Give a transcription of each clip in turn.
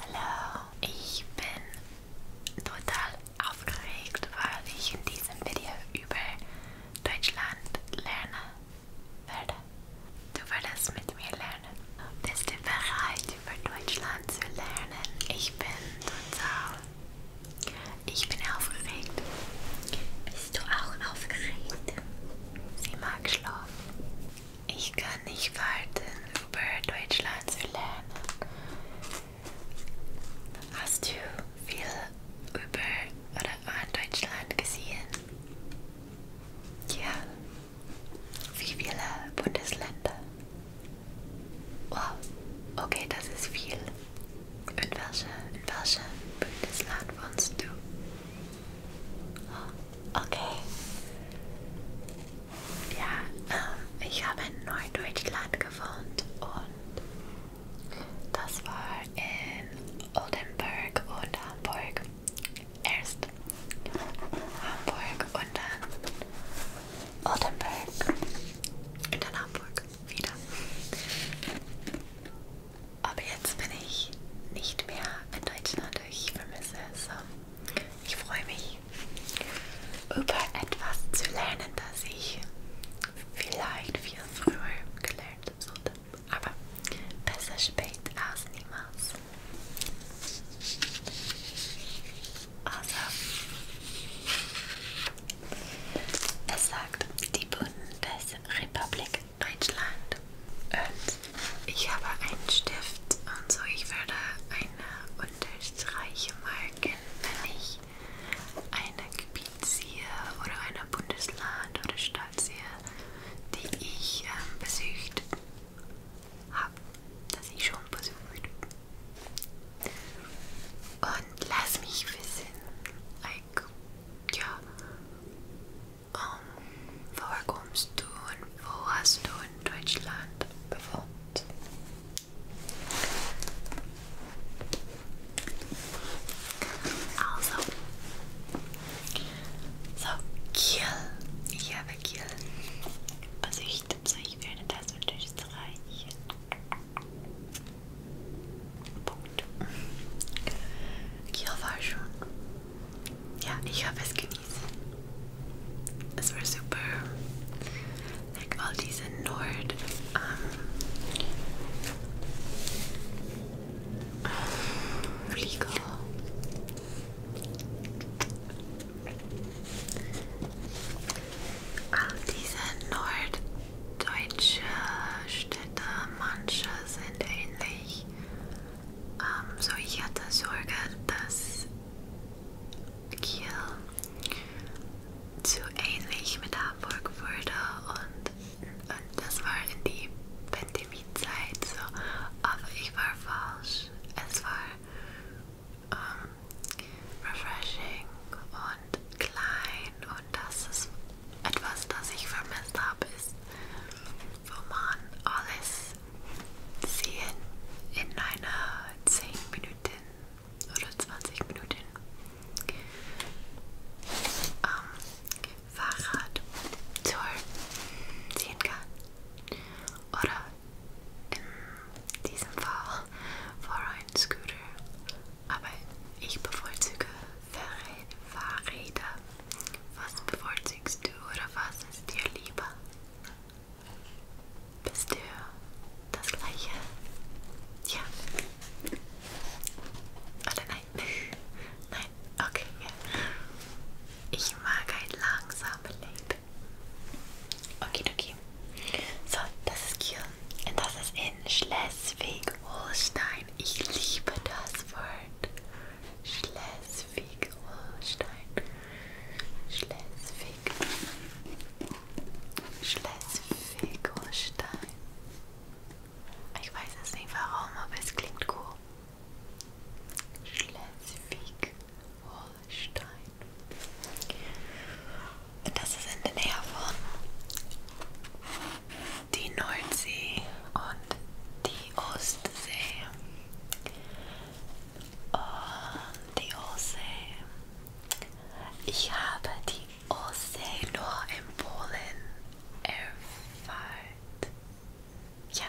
Hallo, ich bin total aufgeregt, weil ich in diesem Video über Deutschland lernen werde. Du würdest mit mir lernen. Bist du bereit, über Deutschland zu lernen? Ich bin total. Ich bin aufgeregt. Bist du auch aufgeregt? Sie mag schlafen. Ich kann nicht warten, über Deutschland zu lernen. Hast du viel über oder an Deutschland gesehen? Ja. Wie viele Bundesländer? Wow, okay, das ist viel. In welchem in welche Bundesland wohnst du? Oh, okay. Ja, ähm, ich habe in Norddeutschland gewohnt und das war in Oldenburg und Hamburg. Erst Hamburg und dann Oldenburg und dann Hamburg wieder. Aber jetzt bin ich nicht mehr in Deutschland, ich vermisse es. So. Ich freue mich über etwas zu lernen, das ich vielleicht viel früher gelernt sollte. Aber besser spät als niemals. Also, es sagt die Bundesrepublik Deutschland und ich habe einen Stift und so, ich würde eine Unterstreiche marken, wenn ich eine Gebiet sehe oder eine Bundesland oder Stadt sehe, die ich ähm, besucht habe, dass ich schon besucht und lass mich wissen, like, ja, um, woher kommst du und wo hast du in Deutschland bewohnt? Also, so Kiel. Ich habe Kiel besichtet, so ich werde das unterstreichen. Punkt. Kiel war schon. Ja, ich habe es ge es war super. Like all diese Nord um, ähm, Flieger. All diese norddeutsche Städte, manche sind ähnlich. Um, ähm, so ich hatte Sorge, dass Kiel zu ähnlich mit Hamburg wurde und, und das war in die Pandemiezeit so, aber ich war falsch. Es war um, ähm, refreshing und klein und das ist etwas, das ich vermisst habe, ist, wo man alles sehen in einer 10 Minuten oder 20 Minuten am Fahrradtour sehen kann. Oder in diesem Fall vor ein Scooter. Aber ich bevorzuge Fahrräder. Was bevorzugst du oder was ist dir lieber? Bist du das gleiche? Ja. Oder nein? nein, okay. Ich mag ein langsames Leben. Okay, okay. So, das ist Kiel. Und das ist in Schleswig-Holstein. Ich liebe das Wort. Schleswig. Schleswig-Holstein. Schleswig. Schleswig-Holstein. Ich weiß es nicht warum, aber es klingt cool. Schleswig-Holstein. Das ist in der Nähe von die Nordsee und die Ostsee. Und oh, die Ostsee. Ich habe die Ostsee nur in Polen erfahrt. Ja,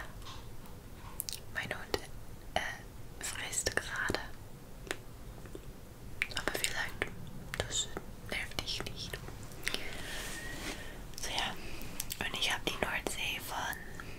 mein Hund äh, frisst gerade. Aber vielleicht, das nervt dich nicht. So ja, und ich habe die Nordsee von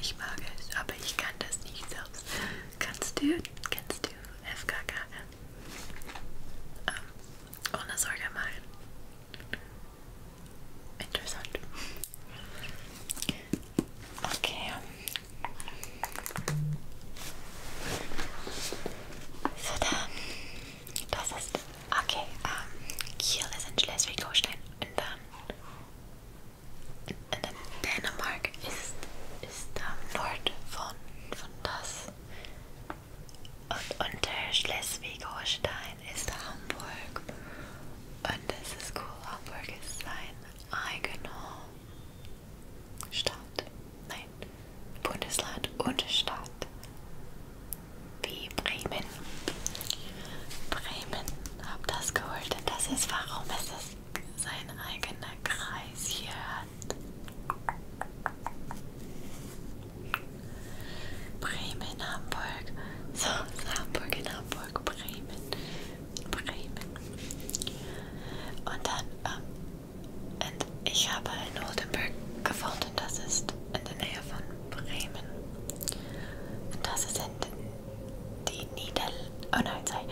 ich mag es, aber ich kann das nicht selbst. Kannst du, kannst du FKK? Um, ähm, ohne Sorge machen. Interessant. Okay. So dann, das ist, okay, um, ähm, Kiel ist in Schleswig-Holstein und dann Dänemark ist, ist am Nord von, von das. Und unter Schleswig-Holstein ist Hamburg. Und das ist cool. Hamburg ist sein eigener Stadt. Nein, Bundesland und Stadt wie Bremen. Bremen, hab das geholt und das ist, warum es ist sein eigener Kreis hier hat. Bremen, Hamburg. So, Hamburg in Hamburg, Bremen. Bremen. Und dann, ähm, und ich habe in Oldenburg gefunden, das ist in der Nähe von Bremen. Das sind die Nieder... Oh nein, sorry.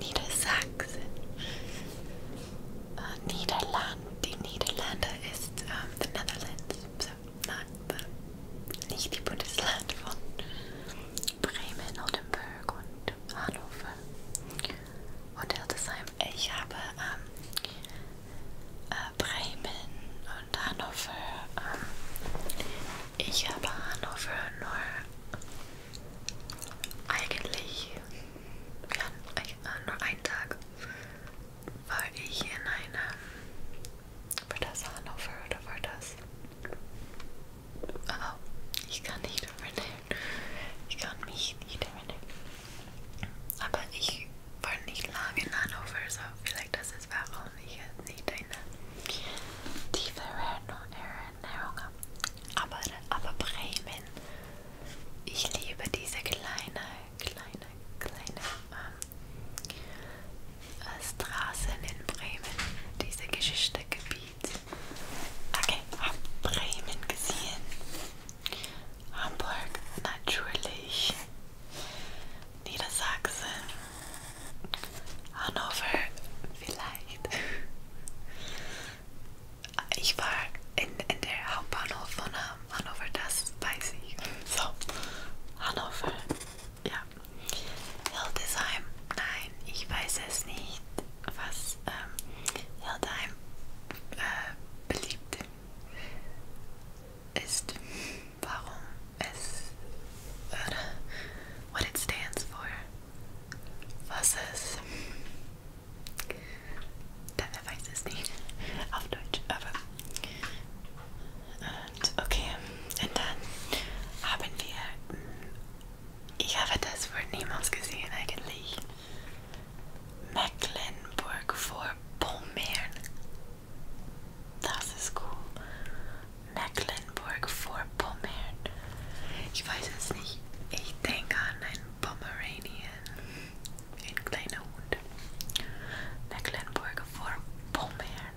Niedersachsen. Uh, Niederland. Die Niederlande ist um, ähm, the Netherlands. So, nein, nicht die Bundesland von Bremen, Oldenburg und Hannover und Hildesheim. Ich habe ähm, äh, Bremen und Hannover. Ähm, ich habe Hannover nur eigentlich ja, äh, nur einen Tag war ich in einem war das Hannover oder war das? Oh, ich kann nicht erinnern. Ich kann mich nicht erinnern. Aber ich war nicht lange in Hannover, so vielleicht das ist warum ich jetzt nicht eine tiefere Erinnerung habe. Aber, aber Bremen, ich liebe diese kleine, kleine, kleine ähm, äh, Straßen in Bremen, diese Geschichtegebiet. Okay, hab Bremen gesehen. Hamburg natürlich. Niedersachsen, Hannover vielleicht. Ich war in, in der Hauptbahnhof von Hannover, das weiß ich. So, Hannover, ja. Hildesheim, nein, ich weiß es nicht, was ähm, Hildesheim äh, beliebt ist. warum what it stands for. Was es da weiß es nicht auf Deutsch, aber okay, und dann haben wir ich habe das Wort niemals gesehen eigentlich. Mecklenburg-Vorpommern. Das ist cool. Mecklenburg Vorpommern. Ich weiß es nicht. Ich denke an einen Pomeranian. Ein kleiner Hund. Mecklenburg Vorpommern.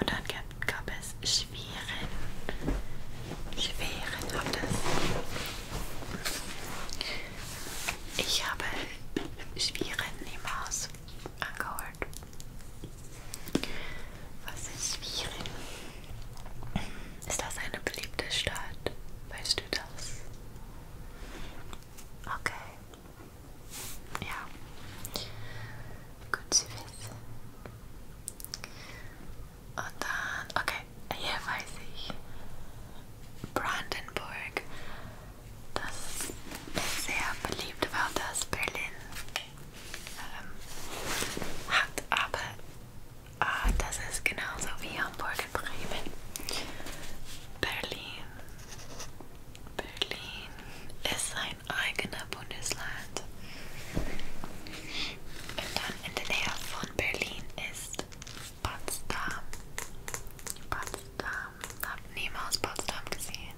Und dann gab, gab es Schweren. Schweren war das. Ich habe Schweren im Haus angeholt. Was ist Schwierig? Ist das eine beliebte Stadt? Weißt du das? Okay. Ja. Gut zu wissen. Und dann, okay, hier weiß ich. Brandenburg das sehr beliebt war, dass Berlin ähm, hat, aber äh, das ist genauso wie Hamburg und Bremen. Berlin, Berlin ist sein eigener Bundesland. Und dann in der Nähe von Berlin ist Potsdam. Potsdam. Potsdam, habe Nemo aus Potsdam gesehen,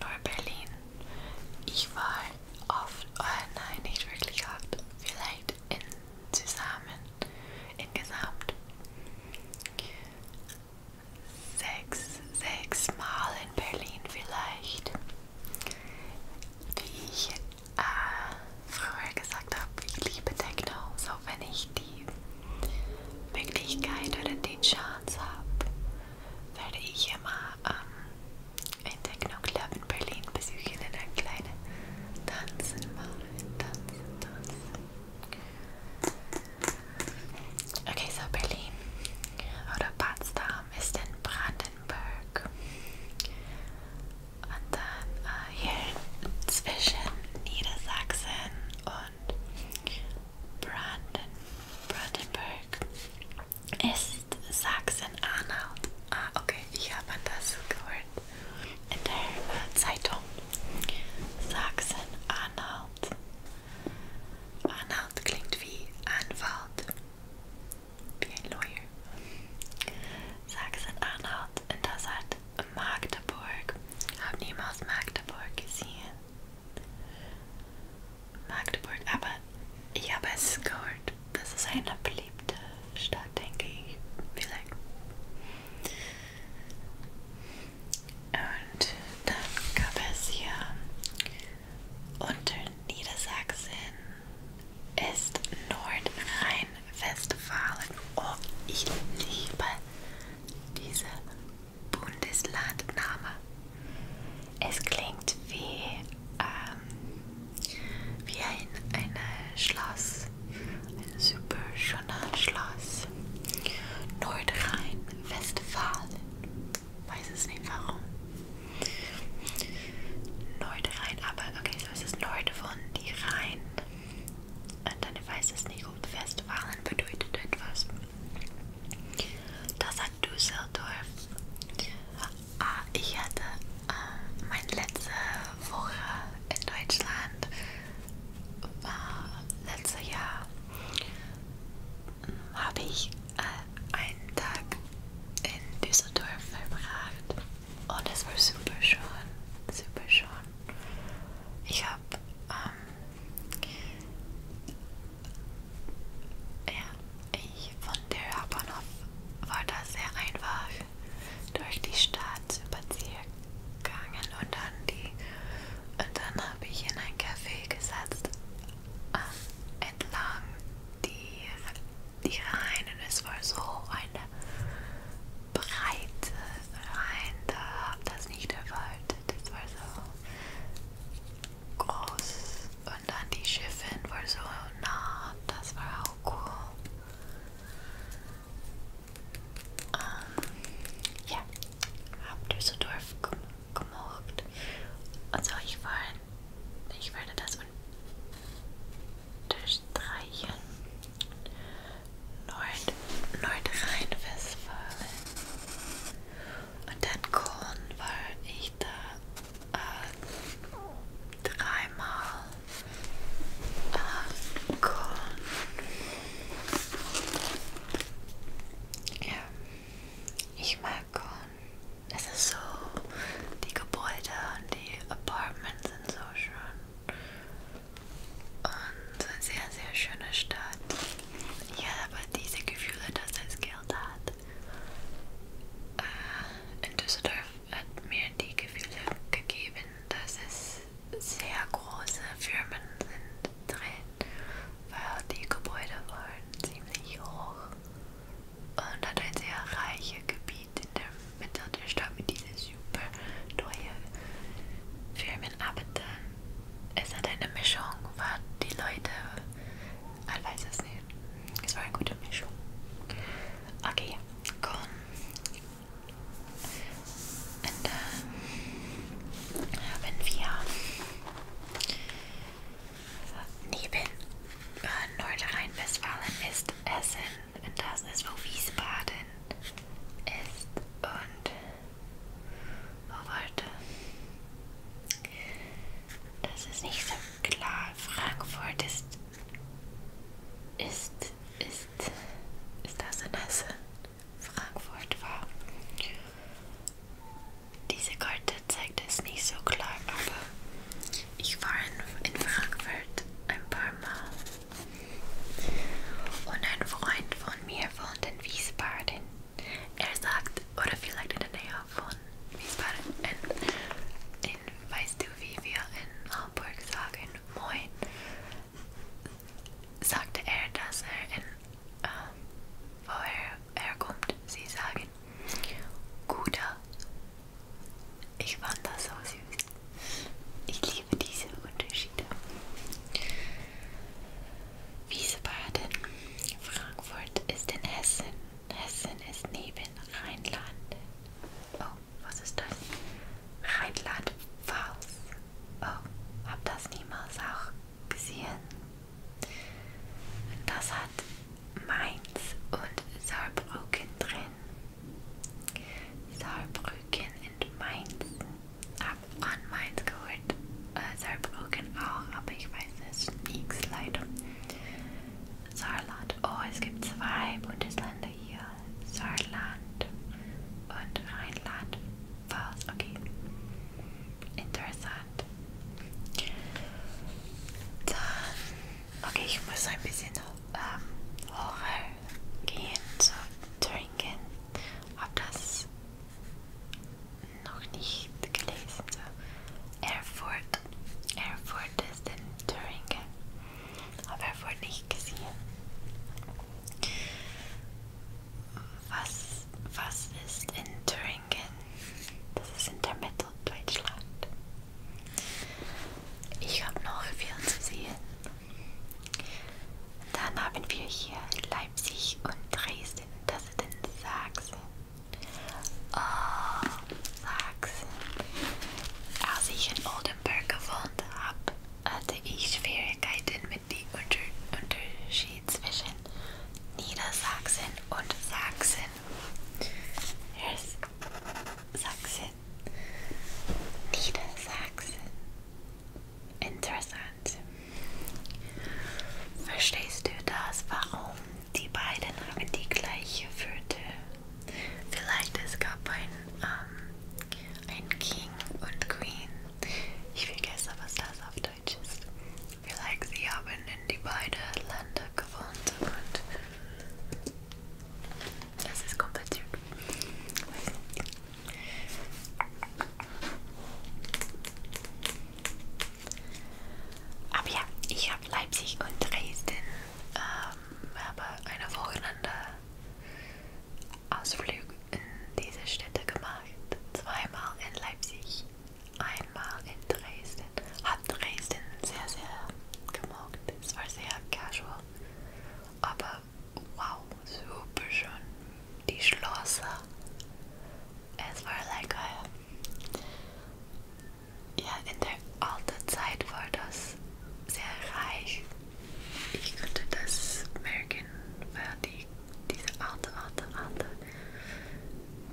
Neu-Berlin. Ich war oft, oh nein, nicht wirklich oft, vielleicht in zusammen, insgesamt sechs, sechs Mal in Berlin vielleicht. Wie ich äh, früher gesagt habe, ich liebe Techno, so wenn ich die Möglichkeit oder die Chance habe, werde ich immer ähm, ein Techno-Club in Berlin besuchen und ein kleines Tanzen machen. Tanzen, tanzen. Okay, so Berlin oder Potsdam ist in Brandenburg. Und dann äh, hier zwischen Niedersachsen und Brandenburg ist Sachsen-Anhalt. Ah, okay, ich habe das gehört in der äh, Zeitung. Sachsen-Anhalt. Anhalt klingt wie Anwalt, wie ein Lawyer. Sachsen-Anhalt En das hat Magdeburg. Hab niemals Magdeburg gesehen. Magdeburg, aber ich habe es gehört, das ist eine beliebte Stadt, denke ich, vielleicht. Und dann gab es hier unter Niedersachsen ist Nordrhein-Westfalen. Oh, ich liebe diese Bundeslandname. Es klingt wie, ähm, wie ein, ein Schloss, ein super schöner Schloss. Nordrhein-Westfalen. Weiß es nicht warum. Nordrhein, aber okay, so ist es Nord von die Rhein. Und dann weiß es nicht, ob Westfalen bedeutet etwas. Da sagt Düsseldorf, ah, ich hatte äh, meine letzte Woche in Deutschland, war letztes Jahr, habe ich äh, einen Tag in Düsseldorf verbracht und es war super schön, super schön. Ich habe ähm, ja, ich von der Hauptbahnhof war da sehr einfach durch die Stadt spazieren gegangen und dann die und dann habe ich in ein Café gesetzt ähm, entlang die, die Rhein und es war so eine breite Rhein, da habe das nicht erwartet das war so groß und dann die Schiffin war so nah, das war auch cool. Um, ähm, ja, hab Düsseldorf gemocht. Also ich war, ich werde das unterstreichen. Nord Nordrhein-Westfalen. Und dann Köln war ich da äh, dreimal. Äh, Köln. Ja, ich mag Köln. Es ist so, die Gebäude und die Apartments sind so schön. Und sehr, sehr schöne Stadt. Ich habe diese Gefühle, dass es Geld hat. Äh, in Düsseldorf hat mir die Gefühle gegeben, dass es sehr große Firmen sind drin, weil die Gebäude waren ziemlich hoch und hat ein sehr reiches Gebiet in der Mitte der Stadt mit diesen super teuren Firmen bin, aber dann ist halt eine Mischung, weil die Leute, ich weiß es nicht, es war eine gute Mischung. Okay, cool. Und dann äh, haben wir neben äh, Nordrhein-Westfalen ist Essen und das ist, wo Wiesbaden ist und Oh, warte. Das ist nicht so klar. Frankfurt ist. Ist. Ist. Ist das in Hessen? Frankfurt war. Diese Karte zeigt es nicht so klar, aber ich war in, in Frankfurt ein paar Mal. Und ein Freund von mir wohnt in Wiesbaden. Er sagt, oder vielleicht in der Nähe von Wiesbaden. In, in, weißt du, wie wir in Hamburg sagen, moin? Sagte er, dass er in, äh, woher er kommt, sie sagen, guter. Ich fand das so süß. Ich liebe diese Unterschiede. Wiesbaden. Frankfurt ist in Hessen. Hessen ist neben Rheinland. Oh, was ist das? Rheinland-Pfalz. Oh, hab das niemals auch gesehen. Das hat Mainz und Saarbrücken drin. Saarbrücken und Mainz hab on meins geholt. Äh, Saarbrücken auch, aber ich weiß es nichts leider. Saarland. Oh, es gibt zwei Bundesländer hier. Saarland und Rheinland. Pfalz, okay. Interessant. Dann, okay, ich muss ein bisschen ähm, hoch gehen zu so trinken. Ob das noch nicht gelesen. So. Erfurt. ist in Thüringen. Habe Erfurt nicht gesehen. Was, was ist in Thüringen? Das ist in der Mitteldeutschland. Ich habe noch viel zu sehen. Dann haben wir hier Leipzig und Dresden. Das ist in Sachsen. Oh, Sachsen. Als ich in Oldenburg gewohnt habe, hatte ich Schwierigkeiten mit dem Unter Unterschied zwischen Niedersachsen und Sachsen. Yes. Sachsen. Niedersachsen. Interessant. Verstehst du das, warum die beiden haben die gleiche Würde? Vielleicht es gab ein, ähm, ein King und Queen. Ich vergesse, was das auf Deutsch ist. Vielleicht sie haben in die beiden Länder gewohnt und das ist kompliziert. Aber ja, ich habe Leipzig und Dresden ähm, habe eine Wochenende Ausflug in diese Städte gemacht. Zweimal in Leipzig, einmal in Dresden. Hat Dresden sehr, sehr gemocht. Es war sehr casual, aber wow, super schön. Die Schlosser. Es war lecker. Ja, in der alten Zeit war das sehr reich. Ich könnte das merken, weil die, diese alte, alte, alte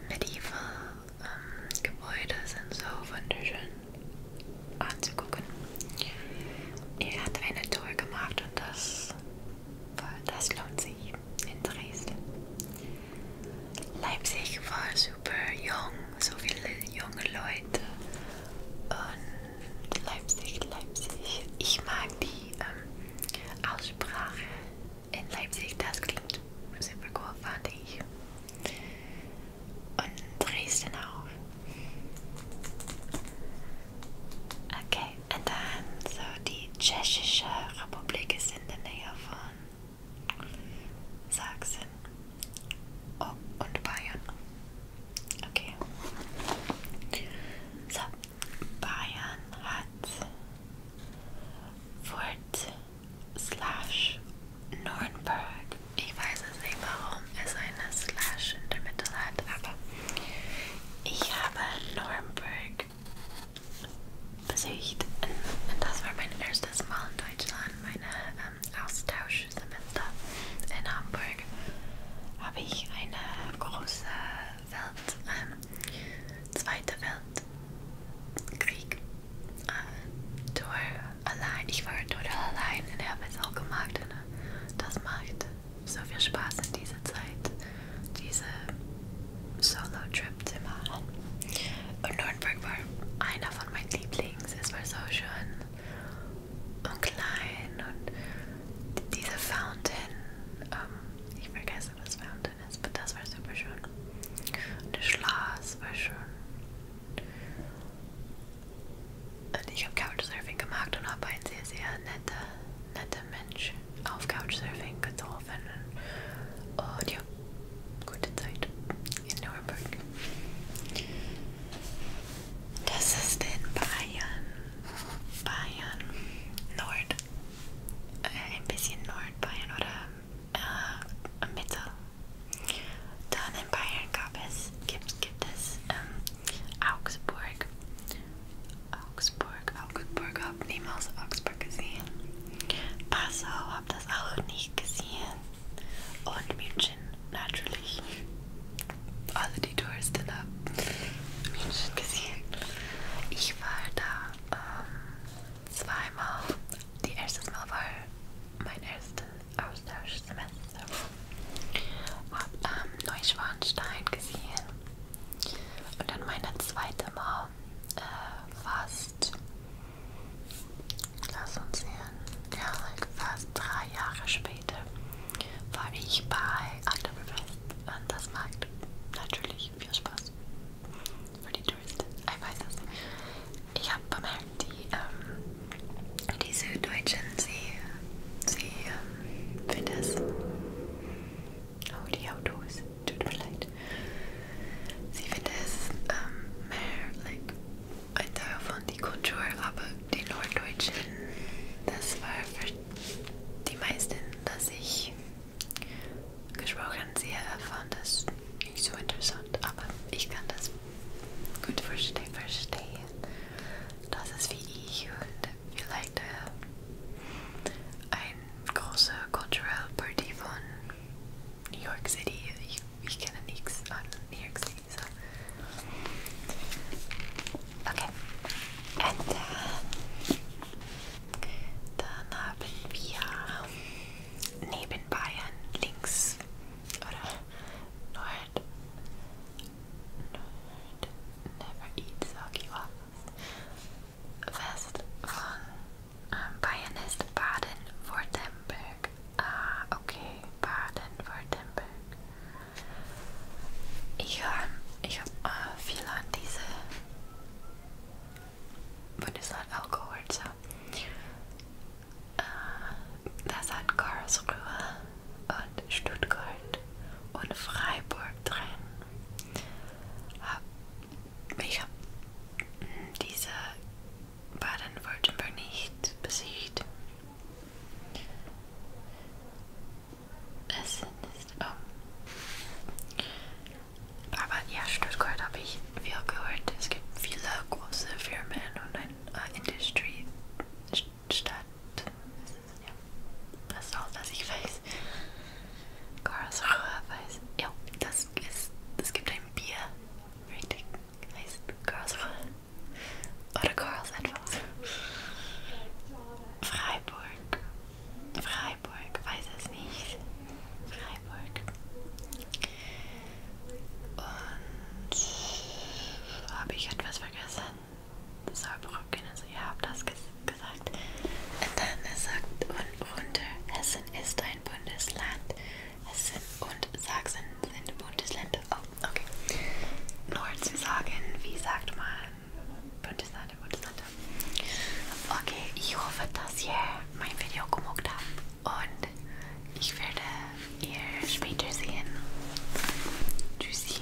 medieval ähm, Gebäude sind so wunderschön anzugucken. Er hat eine Tour gemacht und das das lohnt sich in Dresden. Leipzig war super jung, so viele junge Leute. Und Leipzig, Leipzig. Ich mag die ähm, Aussprache in Leipzig, das klingt super cool, fand ich. Und Dresden auch. Okay, and then so die Tschechische Republik is in der Nähe von Sachsen oh, und Bayern. Okay. So, Bayern hat Fort slash Nürnberg. Ich weiß es nicht, warum es eine Slash in der Mitte hat, aber ich habe Nürnberg besucht und das war mein erstes Mal in Deutschland. Meine ähm, Austauschsemester in Hamburg habe ich eine große Welt, ähm, Zweite Weltkrieg äh, Tour allein. Ich war total allein und habe es auch gemacht und äh, das macht so viel Spaß in dieser Zeit, diese Solo-Trip zu machen. Und Nürnberg war einer von meinen Lieblings. Es war so schön und klein und diese Fountain, um, ähm, ich vergesse, was Fountain ist, aber das war super schön. Und das Schloss war schön. Und ich habe Couchsurfing gemacht und habe eine sehr, sehr nette netter Mensch auf Couchsurfing getroffen und ja, gute Zeit in Nürnberg. Das ist in Bayern, Bayern, Nord, äh, ein bisschen Nordbayern oder äh, Mitte. Dann in Bayern gab es, gibt, gibt es ähm, Augsburg, Augsburg, Augsburg, hab niemals Augsburg gesehen. Passau hab das auch nicht gesehen. Und München, natürlich. Also die Touristen haben München gesehen. Ich war da ähm, zweimal. Die erste Mal war mein erstes Austauschsemester. Hab ähm, Neuschwanstein gesehen. Und dann meine zweite Mom äh, fast, lass uns sehen, ja, fast drei Jahre später war ich bei Oktoberfest und das macht natürlich viel Spaß für die Touristen. Ich weiß es. Ich habe bemerkt, die, ähm, die Süddeutschen, sie, sie ähm, finden es Oh, die Autos. Tut mir leid. Sie findet es ähm, mehr like, ein Teil von der Kultur, aber die Norddeutschen, das war für die meisten, dass ich gesprochen sehe, fand das nicht so interessant, aber ich kann das gut verstehen, verstehen. Das ist wie ich und vielleicht äh, I'm cultural party von New York City. Ich kenne nichts an New York City, so. Okay. And then, dann haben Bayern links oder uh, Nord Nerd never eats soggy waffles. West von um, Bayern ist Ah, okay, Baden-Württemberg. Ich höre ich hab, äh, viel an diese Bundesland Alkohol. So. Äh, das hat und Stuttgart und Freiburg drin. Ich habe hm, diese Baden-Württemberg nicht besiegt. Es sind um. Ähm, aber ja, Stuttgart habe ich viel gehört. Es gibt viele große Firmen und eine äh, Industrie, statt. Ja, das ist auch, was ich weiß. Karlsruhe weiß. Ja, das ist. Es gibt ein Bier. Richtig. Heißt Karlsruhe. Oder Karls etwas. Freiburg. Freiburg. Weiß es nicht. Freiburg. Und habe ich etwas vergessen? Saarbrücken, also ihr habt das ges gesagt. Und dann er sagt und runter, Hessen ist ein Bundesland. Hessen und Sachsen sind Bundesländer. Oh, okay. Nur zu sagen, wie sagt man Bundesländer, Bundesländer. Okay, ich hoffe, dass ihr mein Video gemocht habt und ich werde ihr später sehen. Tschüssi.